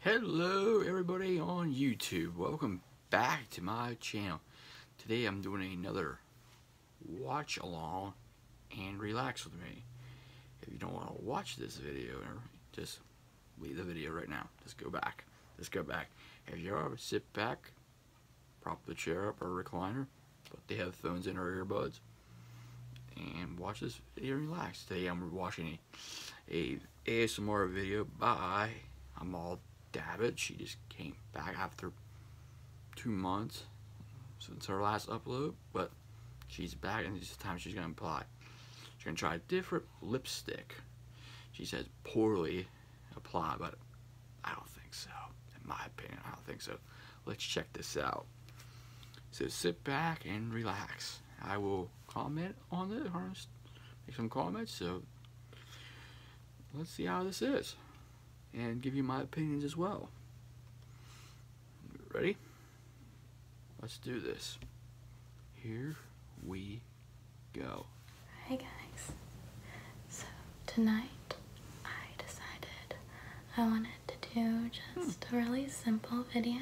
Hello everybody on YouTube. Welcome back to my channel. Today I'm doing another watch along and relax with me. If you don't want to watch this video, just leave the video right now. Just go back. Just go back. If you ever sit back, prop the chair up or recliner, put the headphones in or earbuds, and watch this video and relax. Today I'm watching a, ASMR video by Amal Davitt. She just came back after two months since her last upload, but she's back and this time she's gonna apply. She's gonna try a different lipstick. She says poorly apply, but I don't think so. In my opinion, I don't think so. Let's check this out. So sit back and relax. I will comment on the harness, make some comments. So let's see how this is and give you my opinions as well. Ready? Let's do this. Here we go. Hi guys. So tonight I decided I wanted to do hmm. just a really simple video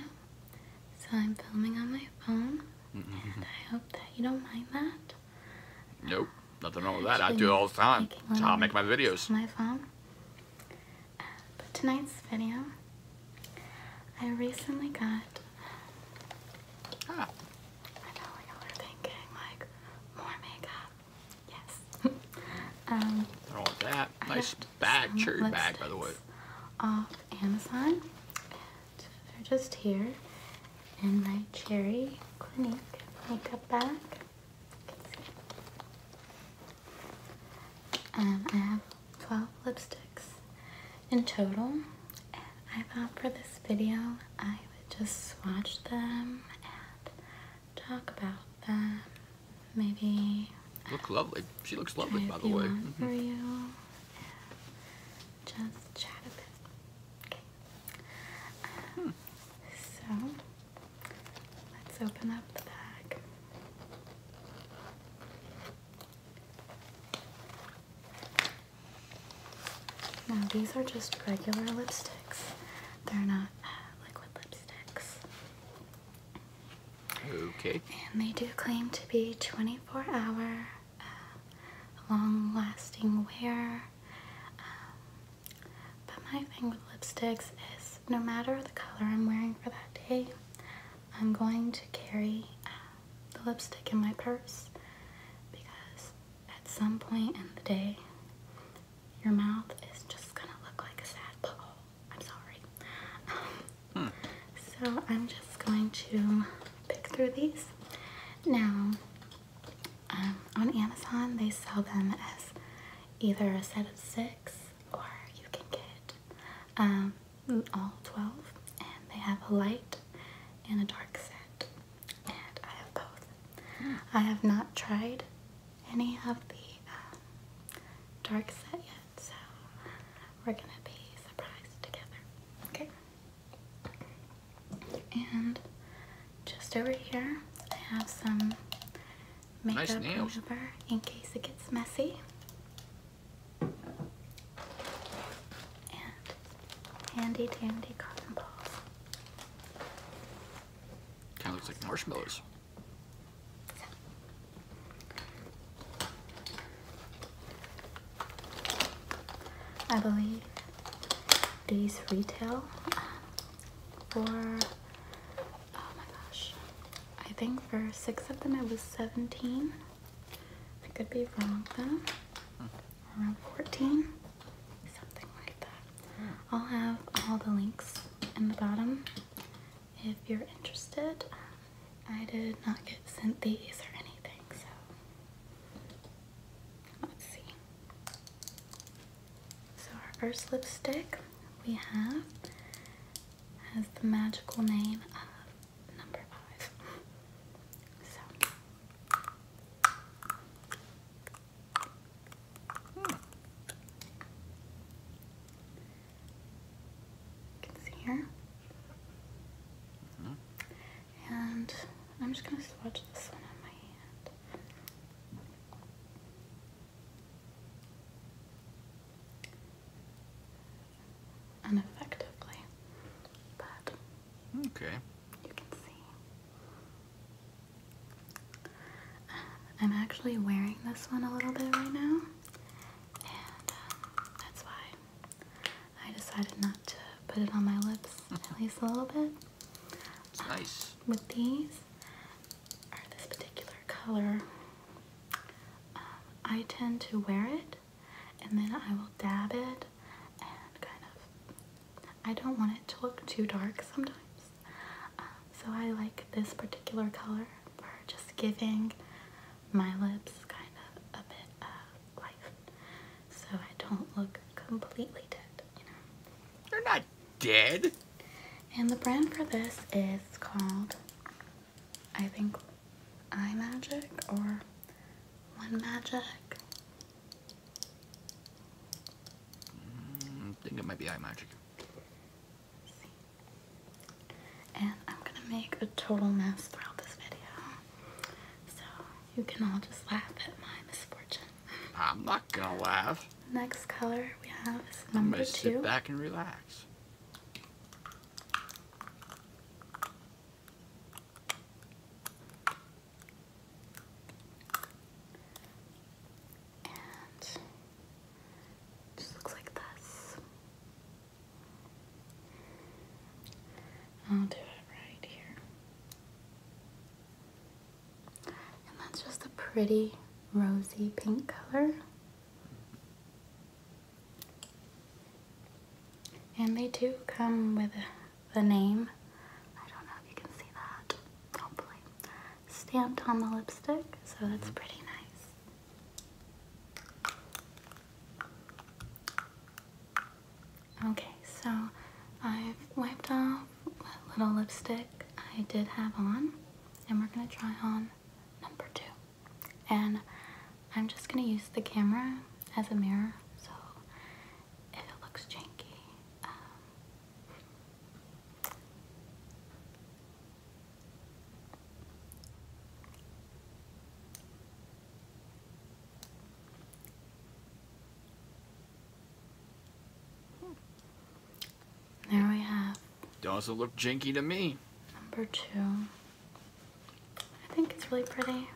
so I'm filming on my phone, and mm-hmm. I hope that you don't mind that. Nope, nothing wrong with that. I do it all the time. That's how I make my videos. on My phone. Uh, but tonight's video, I recently got. Ah. I know y'all are thinking like more makeup. Yes. Um, I don't want that. nice bag, cherry bag, by the way. Off Amazon. they're just here in my Cherry Clinique makeup bag. Um, I have 12 lipsticks in total. I thought for this video, I would just swatch them and talk about them Maybe. Look lovely. She looks lovely, by the way. Mm-hmm. Just chat Okay. Hmm. So, let's open up the bag. Now, these are just regular lipsticks. They're not uh, liquid lipsticks. Okay. And they do claim to be 24 hour, uh, long lasting wear. Um, but my thing with lipsticks is no matter the color I'm wearing for that day, I'm going to carry uh, the lipstick in my purse because at some point in the day, your mouth is just gonna look like a sad pole. I'm sorry. Um, so I'm just going to pick through these. Now, um, on Amazon, they sell them as either a set of six or you can get um, all 12. And they have a light and a dark set. And I have both. Hmm. I have not tried any of the uh, dark set yet, so we're gonna be surprised together. Okay. And just over here, I have some makeup remover in case it gets messy. And handy dandy cotton balls. Kind of looks like marshmallows. I believe these retail for oh my gosh I think for six of them it was 17 I could be wrong though around 14 something like that I'll have all the links in the bottom if you're interested. Um, I did not get sent these or anything, so let's see. So our first lipstick we have has the magical name of number five. So Hmm. can see here. And I'm just going to swatch this one on my hand. Ineffectively, but okay, you can see I'm actually wearing this one a little bit right now, and uh, that's why I decided not to put it on my lips at least a little bit. Uh, nice. With these, or this particular color, um, I tend to wear it and then I will dab it and kind of. I don't want it to look too dark sometimes. Uh, so I like this particular color for just giving my lips kind of a bit of life. So I don't look completely dead, you know. You're not dead! And the brand for this is called, I think, Eye Magic or One Magic. Mm, I think it might be Eye Magic. And I'm gonna make a total mess throughout this video. So you can all just laugh at my misfortune. I'm not gonna laugh. Next color we have is number I'm gonna sit back and relax and just looks like this. I'll do it right here. And that's just a pretty rosy pink color. And they do come with the name. I don't know if you can see that. Hopefully stamped on the lipstick, so that's pretty nice. Okay, so I've wiped off the little lipstick I did have on, and we're gonna try on number two. And I'm just gonna use the camera as a mirror, so if it looks janky, um, there we have. Doesn't look janky to me. Number two. I think it's really pretty. And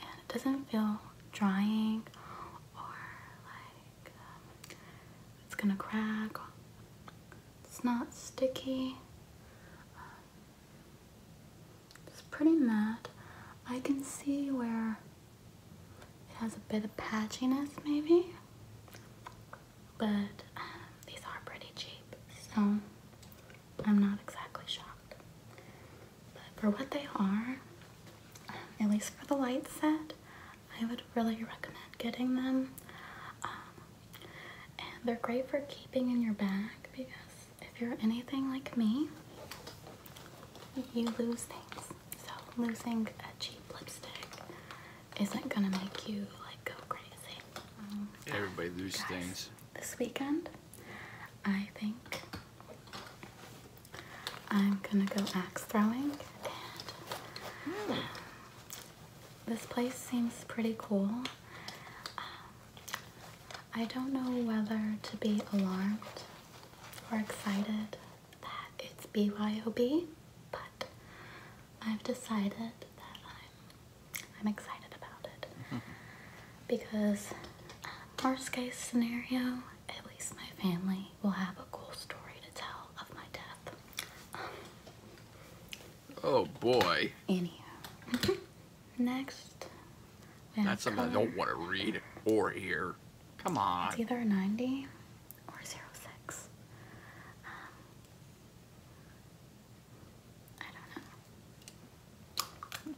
it doesn't feel drying or like it's gonna crack. It's not sticky. it's pretty matte. I can see where it has a bit of patchiness maybe, but um, these are pretty cheap, so I'm not exactly shocked. But for what they are, um, at least for the light set, I would really recommend getting them. Um, and they're great for keeping in your bag because if you're anything like me, you lose things. So losing a cheap lipstick isn't gonna make you like go crazy. Um, Everybody loses things. This weekend, I think I'm gonna go axe throwing um, this place seems pretty cool. Um, I don't know whether to be alarmed or excited that it's BYOB, but I've decided that I'm, I'm excited about it mm-hmm. because uh, worst case scenario, at least my family me will have a cool story to tell of my death. oh boy. Anyhow. Next. That's something I don't want to read or hear. Come on. It's either 90 or 06. Um, I don't know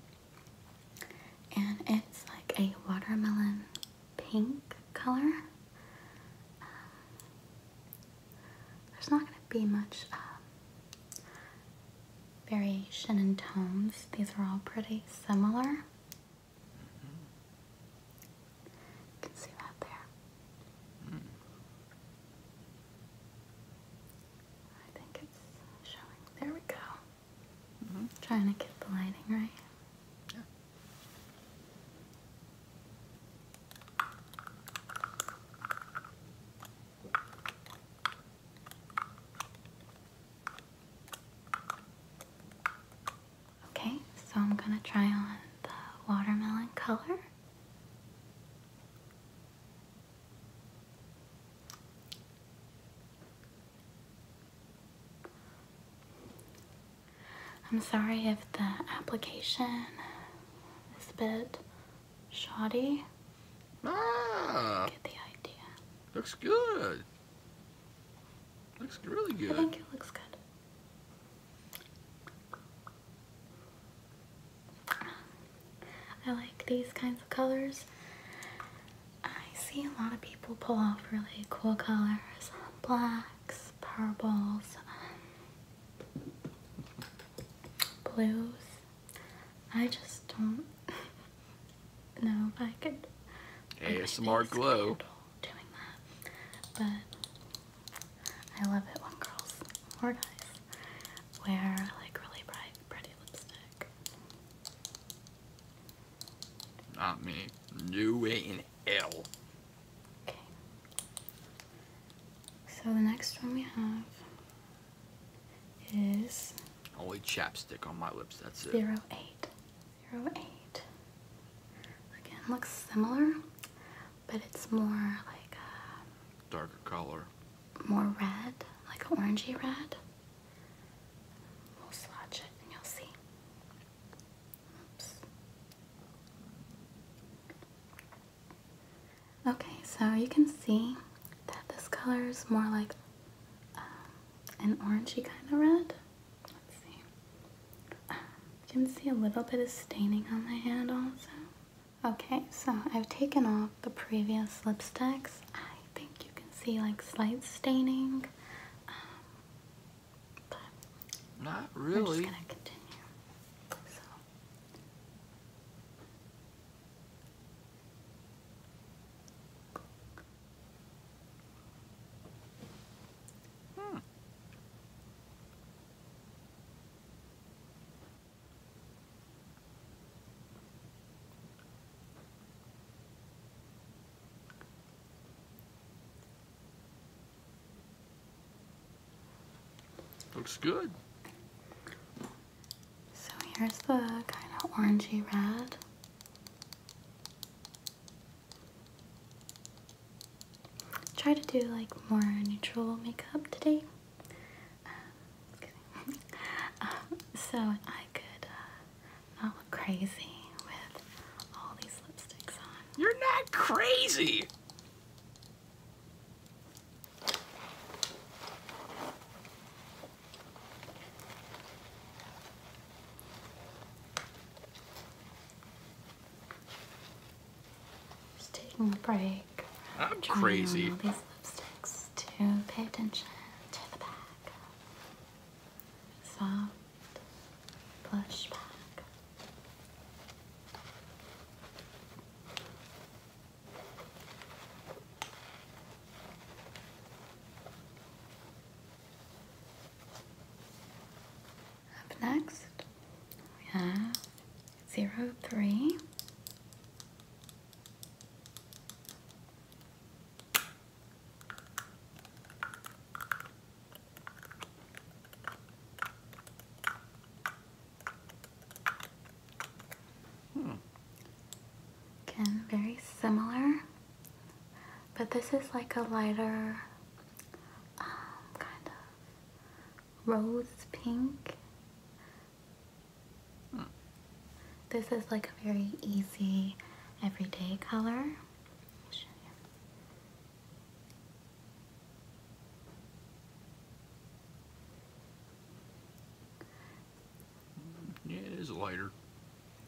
and it's like a watermelon pink color. Um, there's not going to be much um, variation in tones. These are all pretty similar. You can see that there. Hmm. I think it's showing. There we go. Mm -hmm. Trying to get the lighting right. Yeah. Okay, so I'm going to try on the watermelon color. I'm sorry if the application is a bit shoddy. Ah, Get the idea. Looks good. Looks really good. I think it looks good. I like these kinds of colors. I see a lot of people pull off really cool colors, um, blacks, purples, um, blues. I just don't know if I could. ASMR glow. but I love it when girls or guys wear like really bright, pretty lipstick. Not me. New way in hell. Okay. So the next one we have is only chapstick on my lips, that's it. Zero eight. Zero eight. Again, looks similar, but it's more like a uh, darker color. More red, like orangey red. We'll swatch it and you'll see. Oops. Okay, so you can see that this color is more like um, an orangey kind of red. Let's see. you can see a little bit of staining on the hand also. Okay, so I've taken off the previous lipsticks. I think you can see like slight staining. Um, but not really. Looks good. So here's the kind of orangey red. Try to do like more neutral makeup today. Um, so I could uh, I look crazy with all these lipsticks on. You're not crazy! Just taking a break. I'm crazy. these lipsticks to pay attention to the back soft plush back. Up next, we have zero three. Again, very similar, but this is like a lighter um, kind of rose pink this is like a very easy everyday color. Yeah, it is lighter.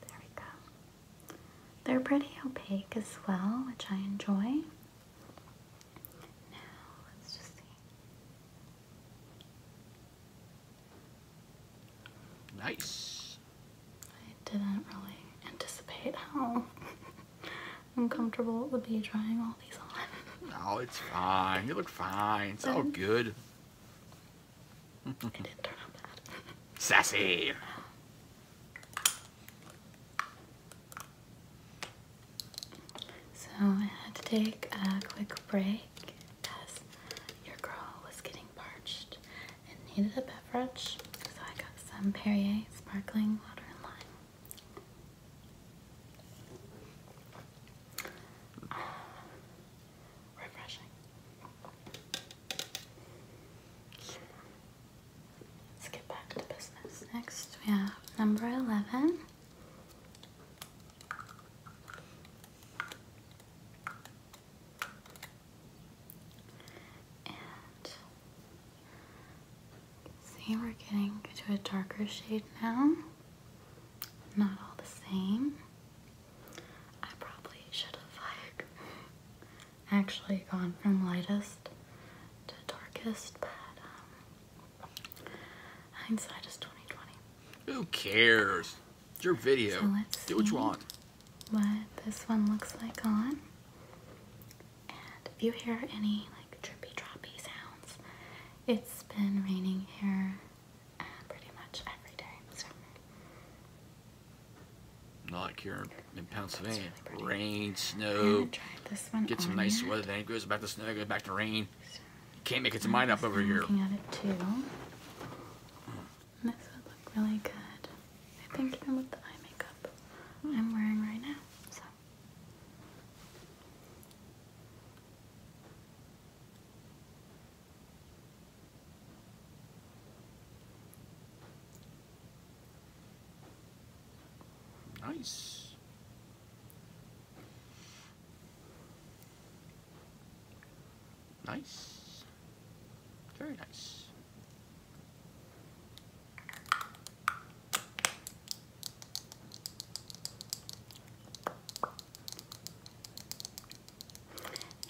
There we go. They're pretty opaque as well, which I enjoy. Now, let's just see. Nice. I didn't really anticipate how uncomfortable it would be trying all these on. no, oh, it's fine. You look fine. It's all good. it didn't turn out bad. Sassy. So I had to take a quick break because your girl was getting parched and needed a beverage. So I got some Perrier sparkling water and lime. refreshing. Let's get back to business. Next we have number 11 see, we're getting to a darker shade now. Not all the same. I probably should have like actually gone from lightest to darkest, but um, hindsight is twenty twenty. Who cares? your video. Do what you want. What this one looks like on. And if you hear any like drippy, droppy sounds, it's been raining here uh, pretty much every day. not here in Pennsylvania. rain, snow. Get some nice weather, then it goes back to snow, goes back to rain. Can't make its mind up over here. Looking at it too. This would look really good. I think even with the eye makeup I'm wearing right now. So. Nice. Nice. Very nice.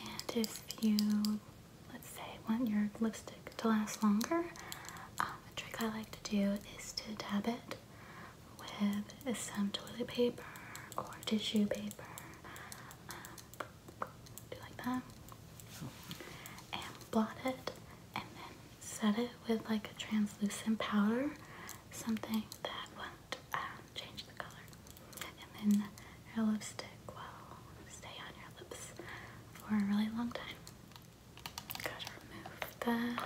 And if you, let's say, want your lipstick to last longer, um, a trick I like to do is to dab it with some toilet paper or tissue paper. Um, do like that. And blot it and then set it with like a translucent powder, something that won't um, change the color. And then your lipstick will stay on your lips for a really long time. Gotta remove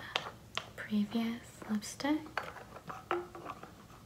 the previous lipstick.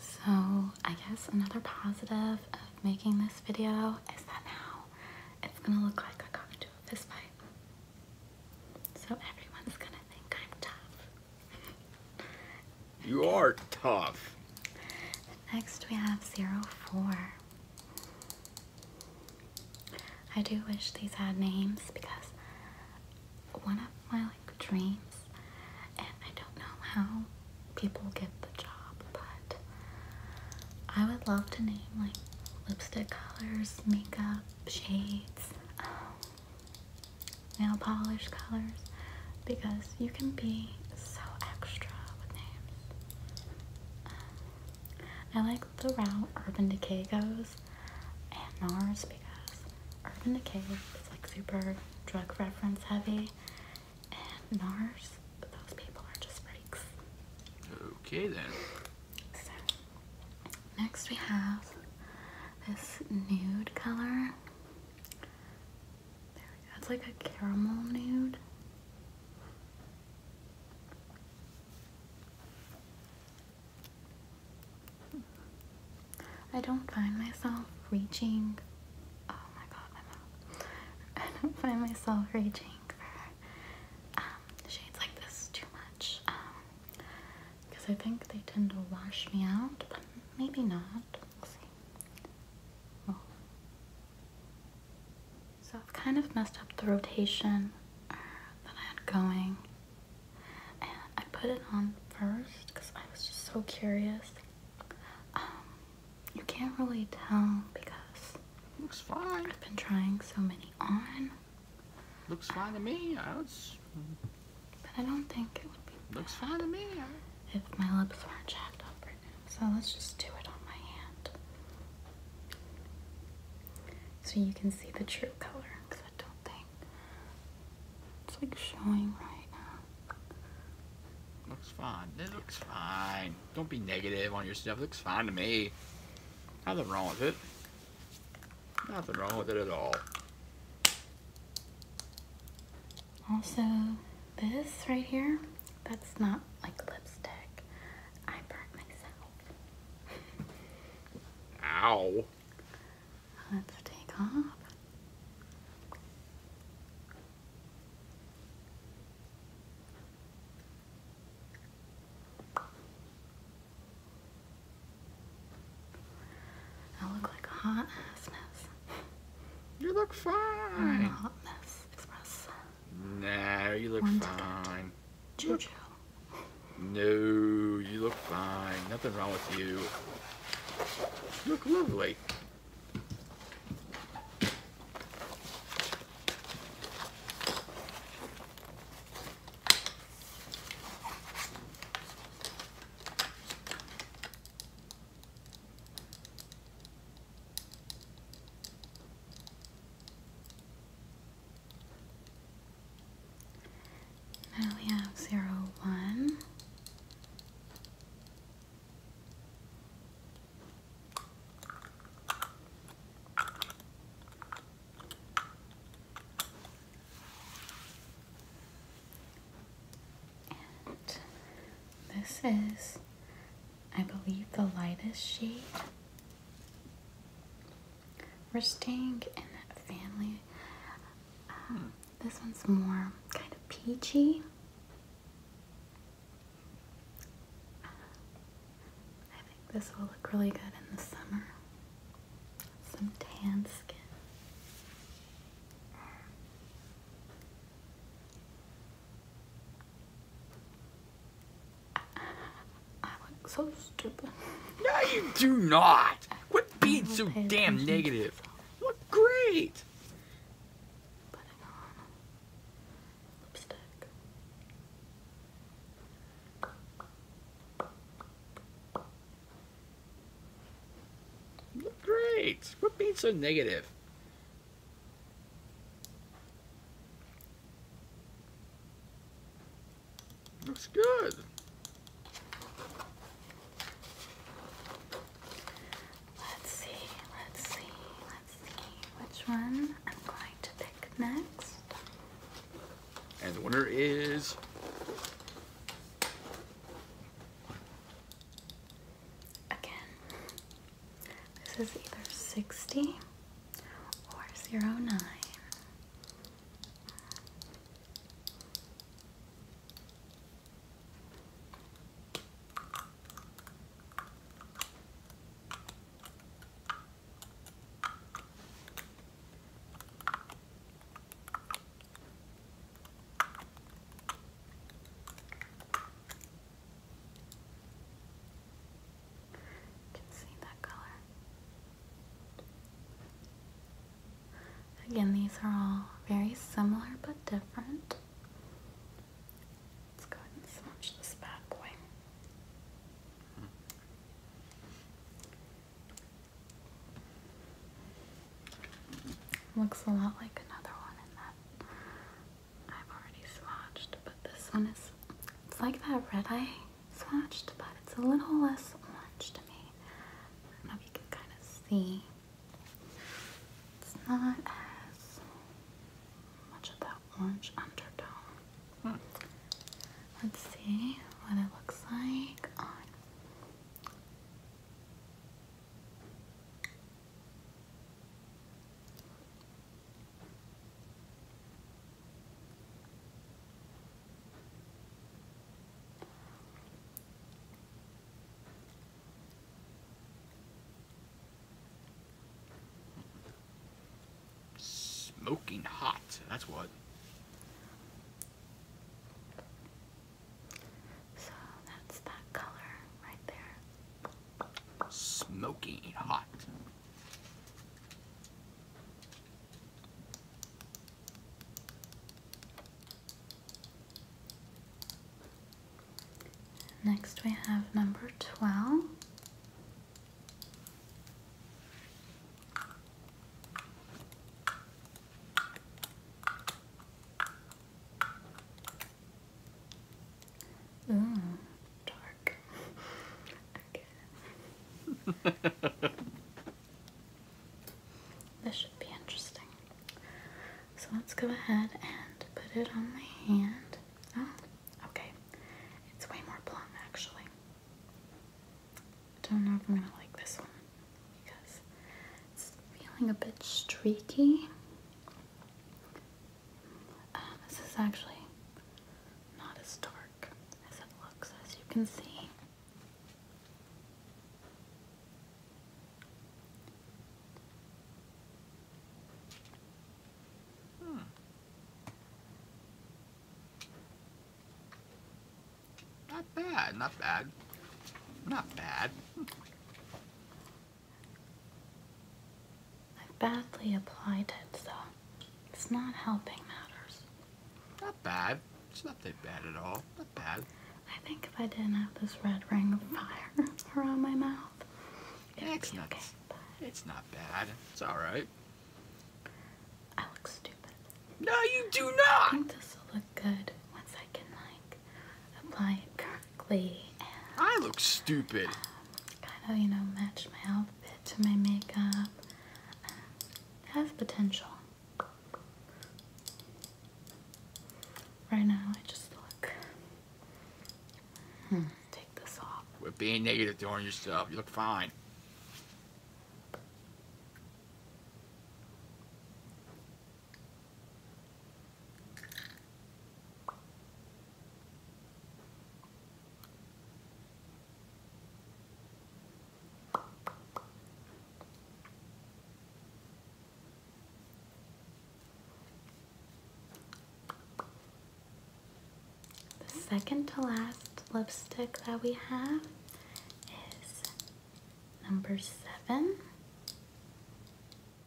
So I guess another positive of making this video is that now it's gonna look like I got into a fist So everyone's gonna think I'm tough. you are tough. Next we have zero four. I do wish these had names because one of my like dreams, and I don't know how people get the job, but I would love to name like lipstick colors, makeup, shades, um, nail polish colors, because you can be so extra with names. I like the route Urban Decay goes and NARS because Urban Decay is like super drug reference heavy and NARS, those people are just freaks. Okay then. So, next we have this nude color. There we go. It's like a caramel nude. I don't find myself reaching. Oh my god, my mouth. I don't find myself reaching for um, shades like this too much. because um, I think they tend to wash me out, but maybe not. So I've kind of messed up the rotation uh, that I had going. And I put it on first because I was just so curious. Um, you can't really tell because looks fine. I've been trying so many on. Looks fine to me. I was... But I don't think it would be. Looks fine to me. If my lips weren't jacked up so let's just do it on my hand. So you can see the true color, I don't think it's like showing right now. Looks fine. It looks fine. Don't be negative on your stuff. looks fine to me. Nothing wrong with it. Nothing wrong with it at all. Also, this right here that's not like lipstick. I burnt myself. Ow. Let's take off. I look like a hot mess. You look fine. hot mess express. No, you look fine. Jojo. No, you look fine. Nothing wrong with You look lovely we have zero one. And this is I believe the lightest shade. We're staying in that family. Um, this one's more kind of peachy. I think this will look really good in the summer. Some tan skin. I look so stupid. No, you do not. What being so damn negative? You look great. Putting on lipstick. You look great. What being so negative? Looks good. Let's see, let's see, let's see which one I'm going to pick next. And the winner is Again, this is either 60 or 09. Again, these are all very similar but different. Let's go and swatch this bad boy. Looks a lot like another one in that I've already swatched, but this one is it's like that red I swatched, but it's a little less orange to me. I you can kind of see. It's not as much of that orange undertone. Hmm. Let's see what it looks like on Smoking hot, that's what. So that's that color right there. Smoky hot. Next we have number 12. Oh, dark. okay. this should be interesting. So let's go ahead and put it on my hand. Oh, okay. It's way more plumb actually. Don't know if I'm gonna like this one because it's feeling a bit streaky. Um, this is actually not as dark as it looks, as you can see. Hmm. Not bad, not bad, not bad. I've badly applied it, so it's not helping matters. Not bad. It's not that bad at all. Not bad. I think if I didn't have this red ring of fire around my mouth, it it's not, okay. it's not bad. It's alright. I look stupid. No, you do not! I think this look good once I can, like, I look stupid. Um, kind of, you know, match my outfit to my makeup. Uh, has potential. Right now, I just look. Hmm. Take this off. With being negative doing yourself, you look fine. The second to last lipstick that we have is number seven.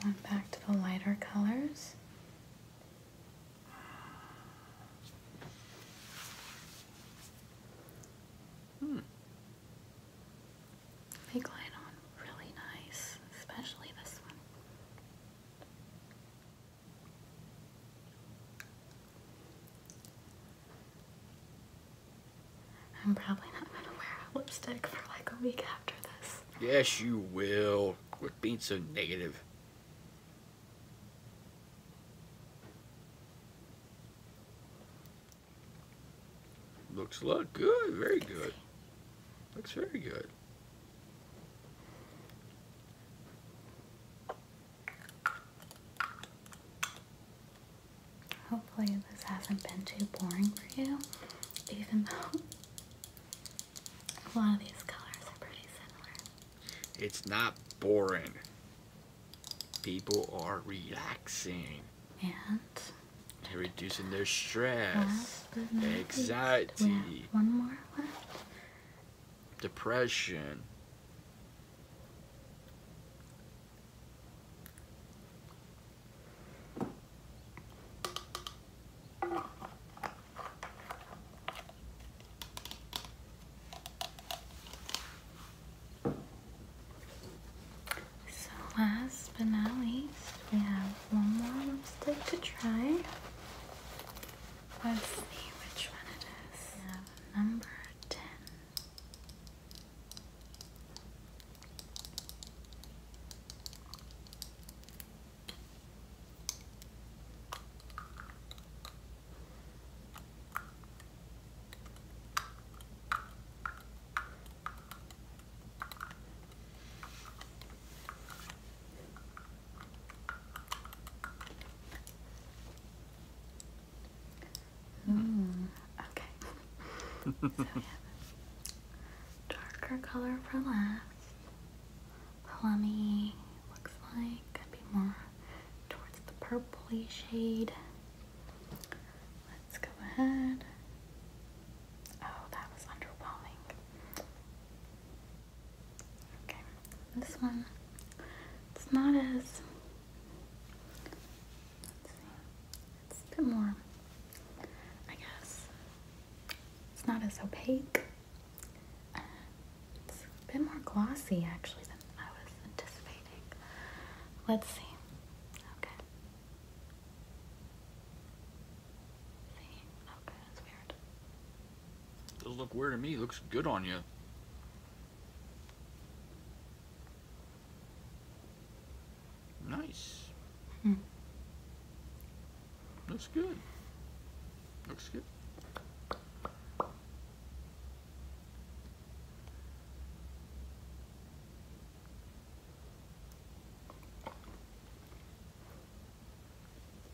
Going back to the lighter colors. Hmm. They on really nice, especially this one. I'm probably not going to wear lipstick for like a week after this. Yes, you will. With being so negative. Looks a lot good. Very good. Looks very good. Hopefully, this hasn't been too boring for you, even though a lot of these colors are pretty similar. It's not boring, people are relaxing and They're reducing their stress, anxiety. One more left depression. So last but not least, we have one more lipstick to try. Let's see which one it is. We have number 10. Mm, okay. so yeah. Darker color for last. Plummy looks like could be more towards the purpley shade. Let's go ahead. Oh, that was underwhelming. Okay, this one, it's not as, it's a bit more, I guess, it's not as opaque. Uh, it's a bit more glossy actually than I was anticipating. Let's see. Okay does look weird to me. Looks good on you. Nice. Hmm. Looks good. Looks good.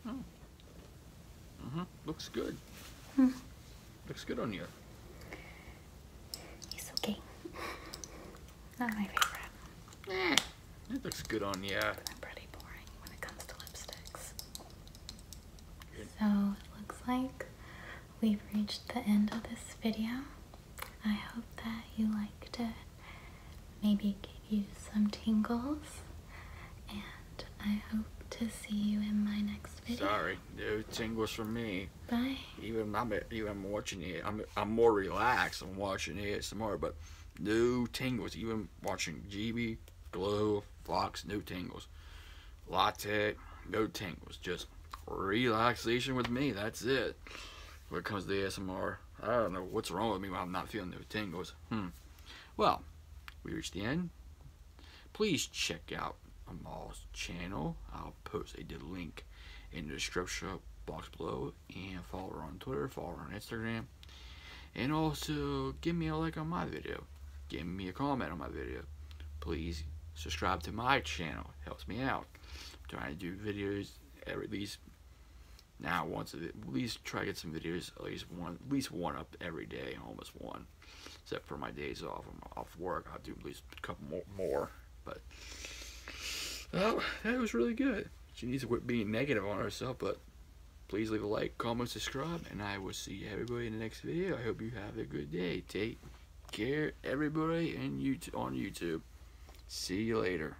Oh hmm Looks good. Hmm. Looks good on you. It's okay. Not my favorite. Eh, it looks good on you. I'm pretty boring when it comes to lipsticks. So it looks like we've reached the end of this video. I hope that you liked it maybe give you some tingles. And I hope to see you in my next video. Sorry, no tingles for me. Bye. Even I'm even watching it. I'm I'm more relaxed. I'm watching it tomorrow, but no tingles. Even watching GB, Glow, Fox, no tingles. Tech, no tingles. Just relaxation with me. That's it. When it comes to Smr, I don't know what's wrong with me I'm not feeling no tingles. Hmm. Well, we reached the end. Please check out Amal's channel. I'll post a link in the description box below and follow her on Twitter, follow her on Instagram. And also give me a like on my video. Give me a comment on my video. Please subscribe to my channel. It helps me out. I'm trying to do videos at least now once at least try to get some videos at least one at least one up every day almost one except for my days off I'm off work I'll do at least a couple more, but oh that was really good she needs to quit being negative on herself but please leave a like comment subscribe and I will see everybody in the next video I hope you have a good day take care everybody and you on YouTube see you later